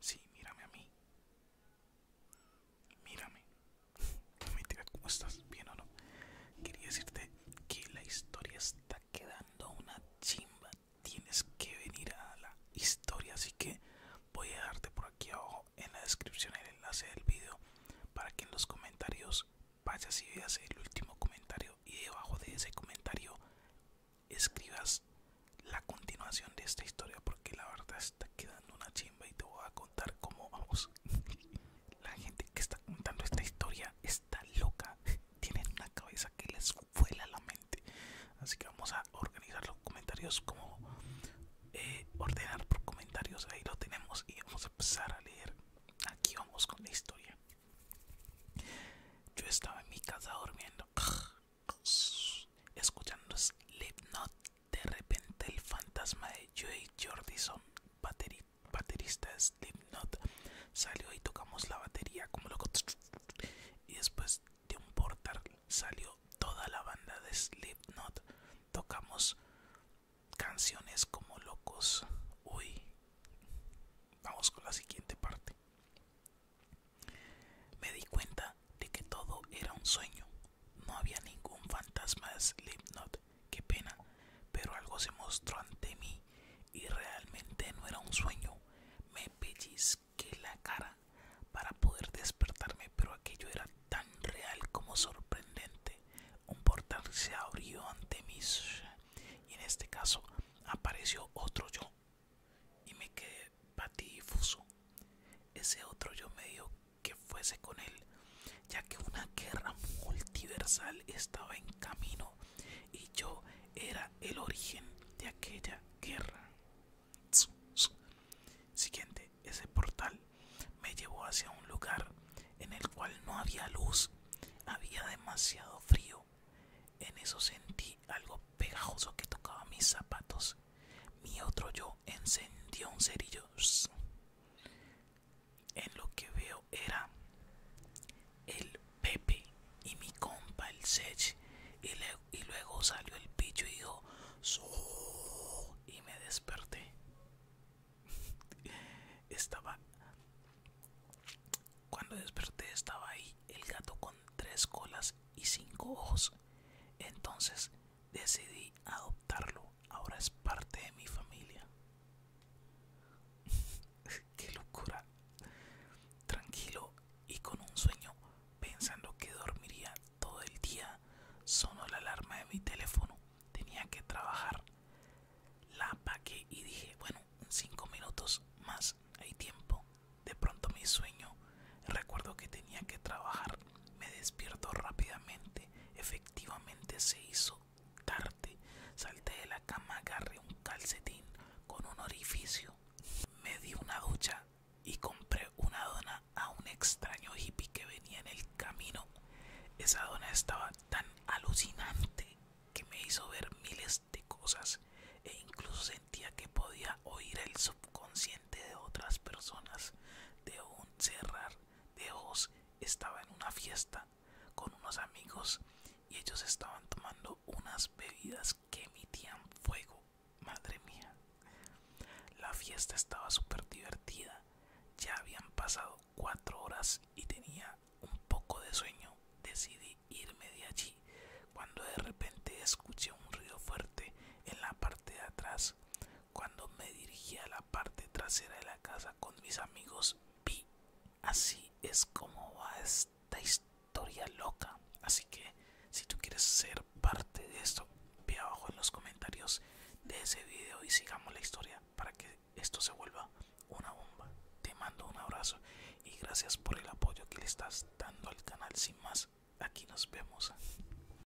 Sí, mírame a mí. Mírame. No ¿cómo estás? ¿Bien o no? Quería decirte que la historia está quedando una chimba. Tienes que venir a la historia, así que voy a dejarte por aquí abajo en la descripción el enlace del video para que en los comentarios vayas y veas el último comentario y debajo de ese comentario escribas la continuación de esta historia porque la verdad está quedando una chimba y te voy a contar cómo vamos. la gente que está contando esta historia está loca, tienen una cabeza que les vuela la mente. Así que vamos a organizar los comentarios como eh, ordenar por comentarios, ahí lo tenemos y vamos a Sara a leer. Aquí vamos con la historia. Yo estaba en mi casa durmiendo, escuchando Slipknot. De repente, el fantasma de Joey Jordison, baterista de Slipknot, salió y tocamos la batería como loco. Y después de un portal salió toda la banda de Slipknot tocamos canciones como locos. Uy, vamos con la siguiente parte. Me di cuenta de que todo era un sueño. No había ningún fantasma de Slipknot. Qué pena, pero algo se mostró ante mí y realmente no era un sueño. Me pellizqué que la cara para poder despertarme, pero aquello era tan real como sorprendente. Un portal se abrió ante mí y en este caso apareció otro yo y me quedé patidifuso. Ese otro yo me dio que fuese con él, ya que una guerra multiversal estaba en camino y yo era el origen de aquella guerra. Siguiente, ese portal me llevó hacia un lugar en el cual no había luz, había demasiado frío. En eso sentí algo pegajoso que tocaba mis zapatos. Mi otro yo encendió un cerillo. En lo que veo era el Pepe y mi compa el Sech y, luego salió el picho y dijo y me desperté estaba cuando desperté estaba ahí el gato con tres colas y cinco ojos entonces decidí adoptarlo ahora es parte de mi familia Qué locura. Tranquilo y con un sueño, pensando que dormiría todo el día, sonó la alarma de mi teléfono. Tenía que trabajar. La apagué y dije, bueno, cinco minutos más, hay tiempo. De pronto mi sueño, recuerdo que tenía que trabajar. Me despierto rápidamente. Efectivamente se hizo Tarde salté de la cama, agarré un calcetín con un orificio, me di una ducha y compré una dona a un extraño hippie que venía en el camino. Esa dona estaba tan alucinante que me hizo ver miles de cosas e incluso sentía que podía oír el subconsciente de otras personas. De un cerrar de ojos estaba en una fiesta con unos amigos y ellos estaban tomando unas bebidas que emitían fuego. Madre mía. La fiesta estaba súper divertida. Ya habían pasado cuatro horas y tenía un poco de sueño. Decidí irme de allí cuando de repente escuché un ruido fuerte en la parte de atrás, cuando me dirigí a la parte trasera de la casa con mis amigos, vi. Así es como va esta historia loca. Así que si tú quieres ser parte de esto, ve abajo en los comentarios de ese video y sigamos la historia para que esto se vuelva una bomba. Te mando un abrazo y gracias por el apoyo que le estás dando al canal. Sin más, aquí nos vemos.